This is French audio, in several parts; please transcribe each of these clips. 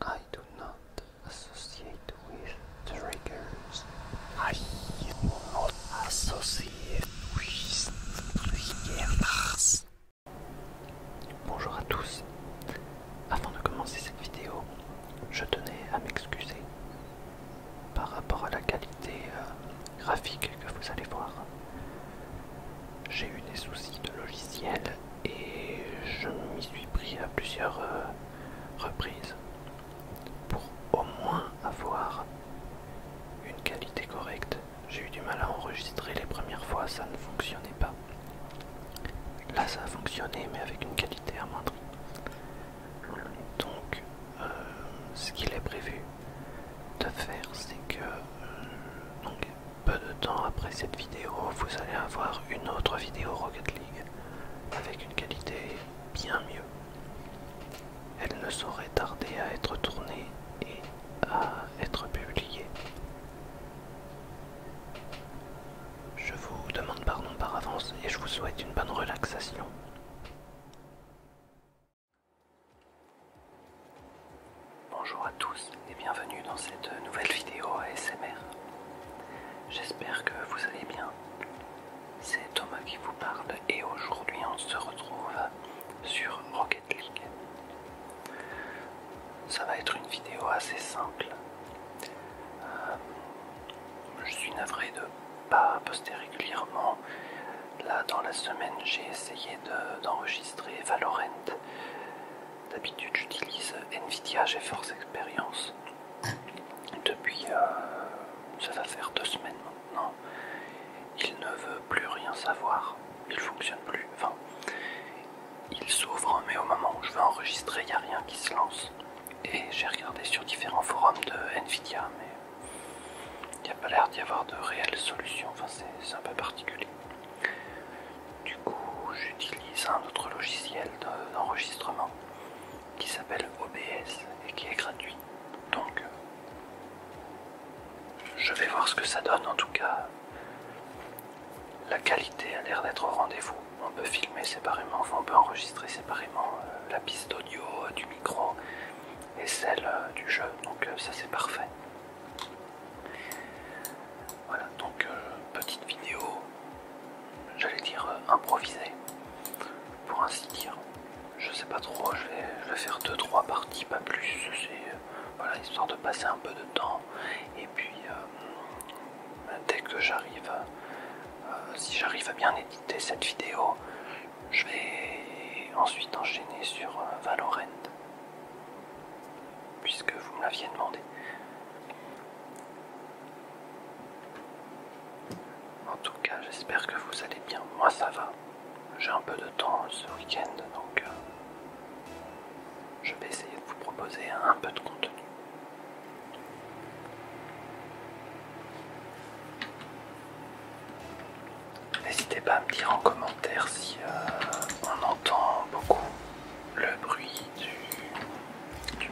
I do not associate with triggers. I do not associate with triggers. Bonjour à tous. Avant de commencer cette vidéo, je tenais à m'excuser par rapport à la qualité euh, graphique que vous allez voir. J'ai eu des soucis de logiciel et je m'y suis pris à plusieurs euh, reprises pour au moins avoir une qualité correcte. J'ai eu du mal à enregistrer les premières fois, ça ne fonctionnait pas. Là ça a fonctionné mais avec une qualité moindre. Donc euh, ce qu'il est prévu de faire c'est que euh, peu de temps après cette vidéo, vous allez avoir une autre vidéo Rocket League avec une qualité bien mieux. Elle ne saurait tarder à être tournée et à être publiée. Je vous demande pardon par avance et je vous souhaite une bonne relaxation. Bonjour à tous et bienvenue dans cette nouvelle vidéo ASMR. J'espère que vous allez bien. C'est Thomas qui vous parle et aujourd'hui on se retrouve sur Rocket League. Ça va être une vidéo assez simple. Euh, je suis navré de pas poster régulièrement. Là dans la semaine j'ai essayé d'enregistrer Valorant D'habitude, j'utilise Nvidia GeForce Experience. Depuis, euh, ça va faire deux semaines maintenant. Il ne veut plus rien savoir. Il fonctionne plus. Enfin, il s'ouvre, mais au moment où je veux enregistrer, il n'y a rien qui se lance. Et j'ai regardé sur différents forums de Nvidia, mais il n'y a pas l'air d'y avoir de réelles solutions. Enfin, c'est un peu particulier. Du coup, j'utilise un autre logiciel d'enregistrement qui s'appelle OBS et qui est gratuit. Donc, euh, je vais voir ce que ça donne. En tout cas, la qualité a l'air d'être au rendez-vous. On peut filmer séparément, enfin, on peut enregistrer séparément euh, la piste audio euh, du micro et celle du jeu. Donc, ça c'est parfait. Voilà, donc euh, petite vidéo, j'allais dire euh, improvisée, pour ainsi dire. Je sais pas trop, je vais, faire deux, trois parties, pas plus. C'est euh, voilà, histoire de passer un peu de temps. Et puis, dès que j'arrive, si j'arrive à bien éditer cette vidéo, je vais ensuite enchaîner sur Valorant puisque vous me l'aviez demandé. En tout cas, j'espère que vous allez bien. Moi, ça va. J'ai un peu de temps ce week-end, donc euh, je vais essayer de vous proposer un peu de contenu. N'hésitez pas à me dire en commentaire si euh, on entend beaucoup le bruit du,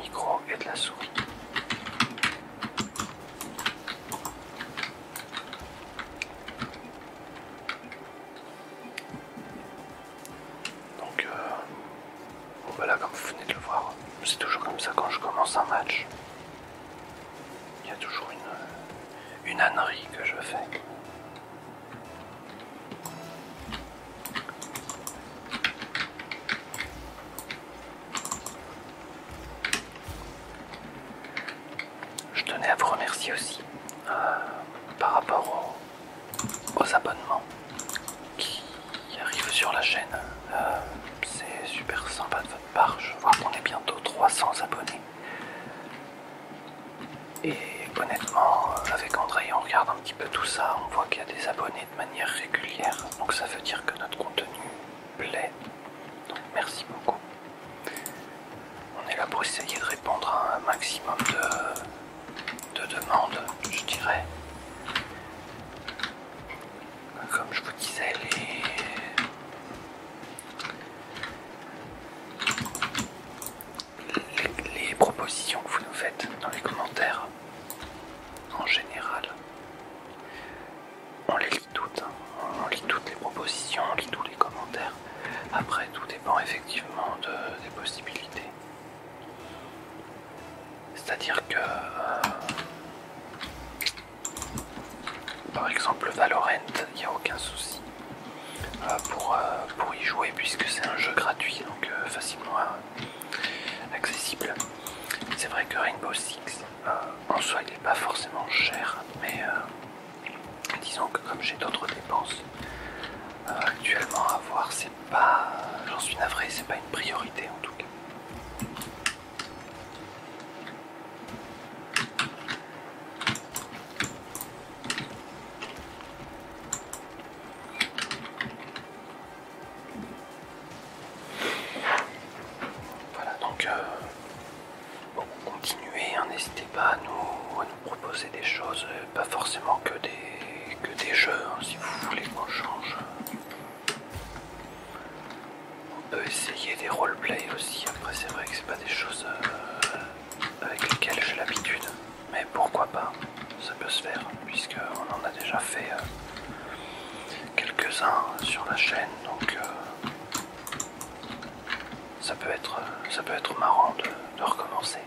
micro et de la souris. Donc euh, voilà, comme vous venez de le voir, c'est toujours comme ça quand je commence un match. Il y a toujours une ânerie que je fais. Je tenais à vous remercier aussi euh, par rapport aux, abonnements qui arrivent sur la chaîne. Euh, c'est super sympa de votre part. Je vois qu'on est bientôt 300 abonnés. Et honnêtement, avec André, on regarde un petit peu tout ça, on voit qu'il y a des abonnés de manière régulière, donc ça veut dire que notre contenu plaît. Donc merci beaucoup. On est là pour essayer de répondre à un maximum de, de demandes, je dirais. Comme je vous disais, les, les, propositions que vous nous faites dans les commentaires en général. On les lit toutes, hein. on lit toutes les propositions, on lit tous les commentaires. Après, tout dépend effectivement de, des possibilités. C'est-à-dire que euh, par exemple Valorant, il n'y a aucun souci euh, pour, euh, pour y jouer puisque c'est un jeu gratuit, donc euh, facilement accessible. C'est vrai que Rainbow Six, en soi, il n'est pas forcément cher, mais disons que comme j'ai d'autres dépenses actuellement à voir, c'est pas, j'en suis navré, c'est pas une priorité en tout cas. Voilà, donc bon, euh, continuez, n'hésitez pas à nous, nous proposer des choses, euh, pas forcément que des, que des jeux, hein, si vous voulez qu'on change on peut essayer des roleplays aussi. Après, c'est vrai que c'est pas des choses euh, avec lesquelles j'ai l'habitude, mais pourquoi pas, ça peut se faire, on en a déjà fait euh, quelques-uns sur la chaîne, donc euh, ça, peut être, marrant de recommencer.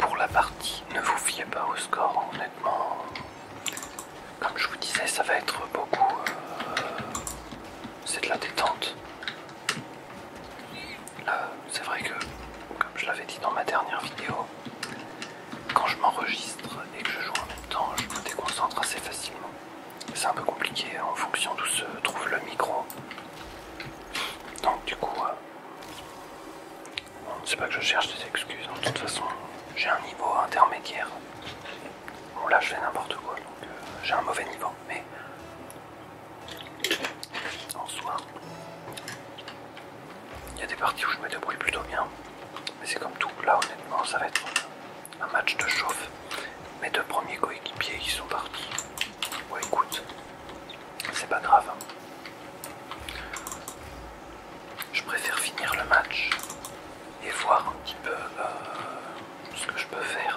Pour la partie, ne vous fiez pas au score, honnêtement. Comme je vous disais, ça va être beaucoup. Euh, c'est de la détente. c'est vrai que, comme je l'avais dit dans ma dernière vidéo, quand je m'enregistre et que je joue en même temps, je me déconcentre assez facilement. C'est un peu compliqué hein, en fonction d'où se trouve le micro. Donc du coup, euh, c'est pas que je cherche des excuses. Hein. De toute façon, j'ai un niveau intermédiaire. Bon là, je fais n'importe quoi, donc euh, j'ai un mauvais niveau. Mais en soi, il y a des parties où je mets me bruit plutôt bien, mais c'est comme tout. Là, honnêtement, ça va être un match de chauffe. Mes deux premiers coéquipiers, qui sont partis. Bon, écoute, c'est pas grave. Hein. Je préfère finir le match et voir un petit peu euh, ce que je peux faire.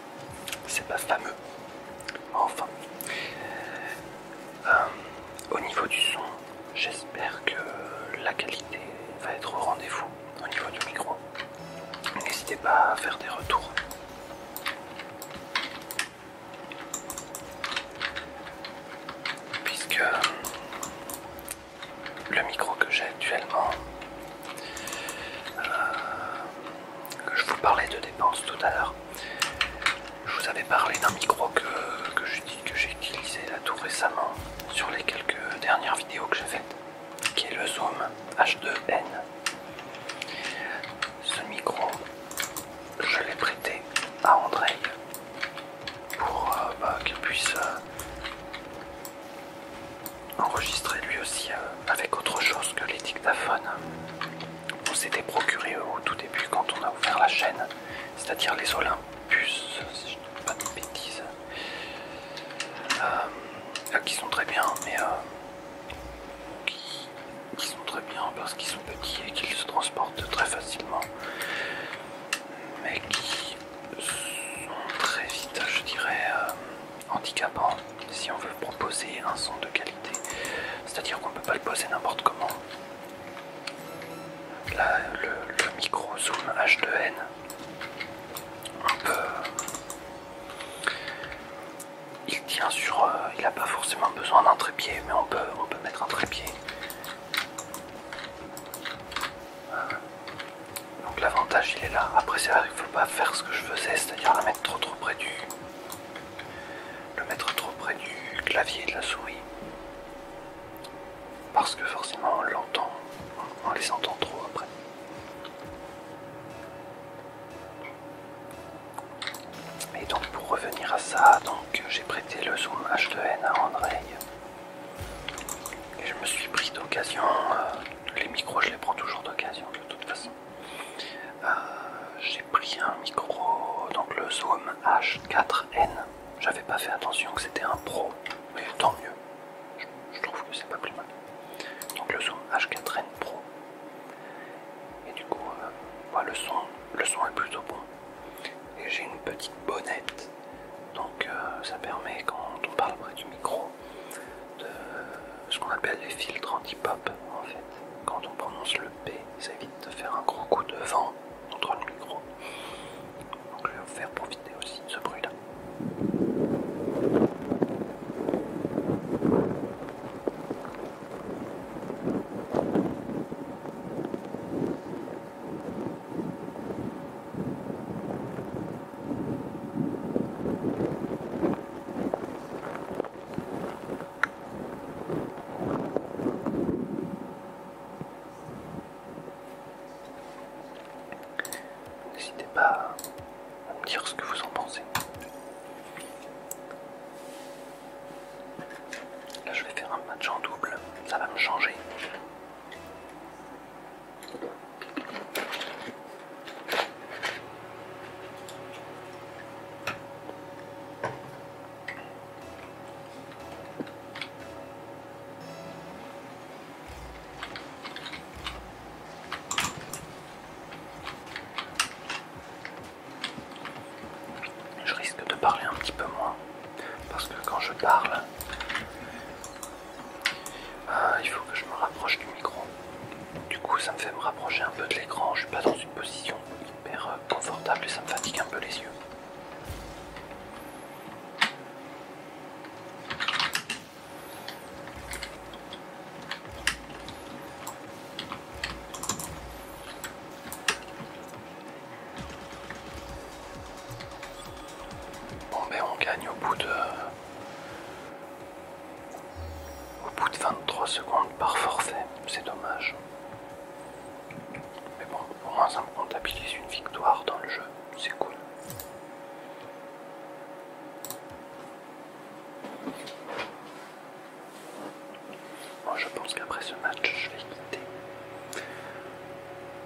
c'est pas fameux. Enfin, euh, au niveau du son, j'espère que la qualité va être au rendez-vous au niveau du micro. N'hésitez pas à faire des retours. Puisque euh, le micro que j'ai actuellement euh, je vous parlais de dépenses tout à l'heure. Je vous avais parlé d'un micro que, que j'ai utilisé là tout récemment sur les quelques dernières vidéos que j'ai faites, qui est le Zoom H2N. Ce micro, je l'ai prêté à Andrei pour euh, bah, qu'il puisse euh, enregistré lui aussi euh, avec autre chose que les dictaphones on s'était procuré euh, au tout début quand on a ouvert la chaîne, c'est-à-dire les Olympus, si je pas de bêtises, euh, qui sont très bien, mais qui, sont très bien parce qu'ils sont petits et qu'ils se transportent très facilement, mais qui sont très vite, je dirais, handicapant si on veut proposer un son de qualité. C'est-à-dire qu'on peut pas le poser n'importe comment. Là, le, micro zoom H2N, on peut... Il tient sur... Euh, il n'a pas forcément besoin d'un trépied, mais on peut, on peut mettre un trépied. Euh, donc l'avantage il est là. Après c'est pas faire ce que je faisais, c'est-à-dire la mettre trop trop près du. le mettre trop près du clavier de la souris. Parce que forcément on l'entend, on les entend trop après. Et donc pour revenir à ça, donc j'ai prêté le zoom H2N à André. Et je me suis pris d'occasion, euh, les micros je les prends toujours d'occasion de toute façon. Euh, j'ai pris un micro, donc le Zoom H4N. J'avais pas fait attention que c'était un pro, mais tant mieux. Je, trouve que c'est pas plus mal. Donc le Zoom H4N Pro. Et du coup, euh, le, son, le son est plutôt bon. Et j'ai une petite bonnette, donc euh, ça permet quand on parle près du micro de ce qu'on appelle les filtres anti-pop en fait. Quand on prononce le P, ça évite de faire un gros coup de vent contre le micro. Donc je vais vous faire profiter aussi de ce bruit-là. N'hésitez pas à me dire ce que vous en pensez. Là je vais faire un match en double, ça va me changer. Je risque de parler un petit peu moins parce que quand je parle, euh, il faut que je me rapproche du micro. Du coup, ça me fait me rapprocher un peu de l'écran. Je suis pas dans une position hyper euh, confortable et ça me fatigue un peu les yeux. Bon mais ben, on gagne au bout de au bout de 23 secondes par forfait, c'est dommage. Mais bon, au moins ça me comptabilise une victoire dans le jeu, c'est cool. Moi je pense qu'après ce match, je vais quitter.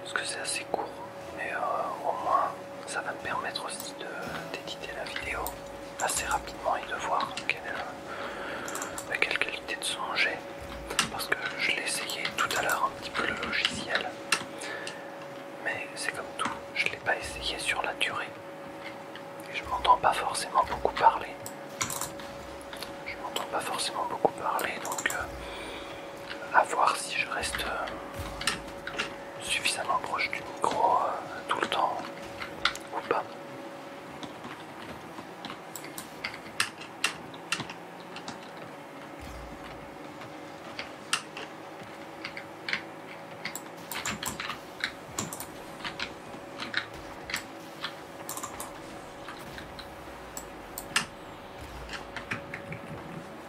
Parce que c'est assez court mais euh, au moins ça va me permettre aussi d'éditer la vidéo assez rapidement et de voir euh, bah, quelle, qualité de son j'ai parce que je l'ai essayé tout à l'heure un petit peu le logiciel mais c'est comme tout je l'ai pas essayé sur la durée et je m'entends pas forcément beaucoup parler je m'entends pas forcément beaucoup parler donc euh, à voir si je reste euh, suffisamment proche du micro euh, tout le temps ou pas.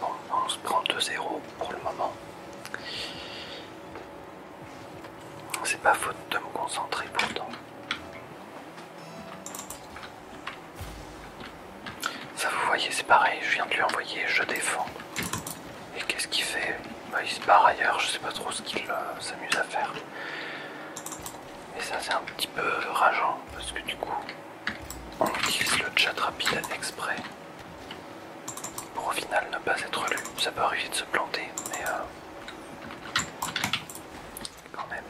Bon, on se prend 2-0 pour le moment. C'est pas faute de me concentrer pourtant. Ça, vous voyez, c'est pareil, je viens de lui envoyer, je défends. Et qu'est-ce qu'il fait bah, Il se barre ailleurs, je sais pas trop ce qu'il euh, s'amuse à faire. Et ça, c'est un petit peu rageant, parce que du coup, on utilise le chat rapide exprès pour au final ne pas être lu. Ça peut arriver de se planter, mais euh, quand même.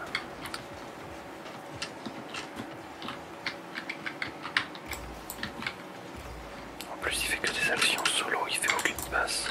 En plus, il fait que des actions solo, il fait aucune passe.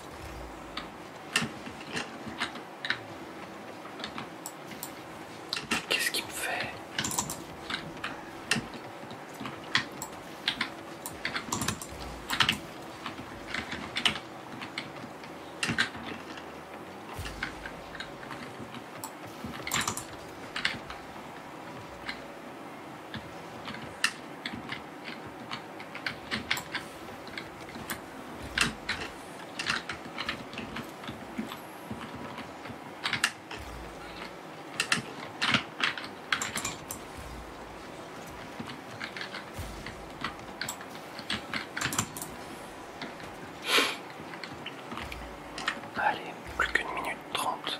Qu'est-ce qui me fait Allez, plus qu'une minute trente.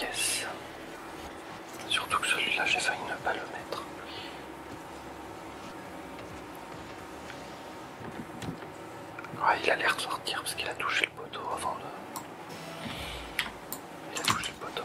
Yes. Surtout que celui-là, j'ai failli ne pas le mettre. Ah, il a l'air de sortir parce qu'il a touché le poteau avant de... Il a touché le poteau.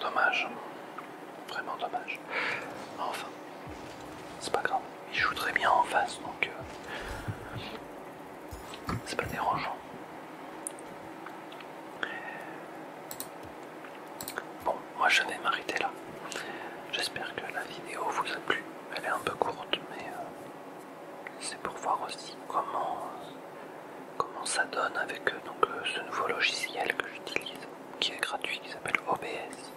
Dommage. Vraiment dommage. Enfin, c'est pas grave. Il joue très bien en face, donc euh, c'est pas dérangeant. Bon, moi je vais m'arrêter là. J'espère que la vidéo vous a plu. Elle est un peu courte, mais euh, c'est pour voir aussi comment, comment ça donne avec euh, donc, euh, ce nouveau logiciel que j'utilise, qui est gratuit, qui s'appelle OBS.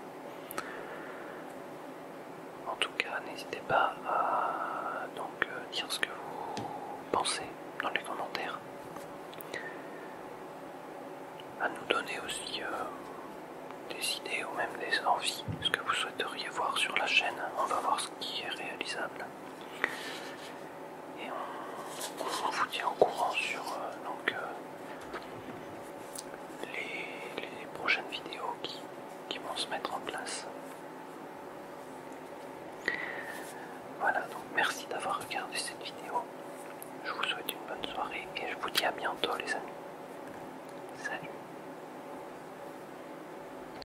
En tout cas, n'hésitez pas à donc, euh, dire ce que vous pensez dans les commentaires. À nous donner aussi des idées ou même des envies, ce que vous souhaiteriez voir sur la chaîne. On va voir ce qui est réalisable. Et on, vous tient au courant sur euh, donc, euh, les, prochaines vidéos qui vont se mettre en place. Voilà, donc merci d'avoir regardé cette vidéo. Je vous souhaite une bonne soirée et je vous dis à bientôt les amis. Salut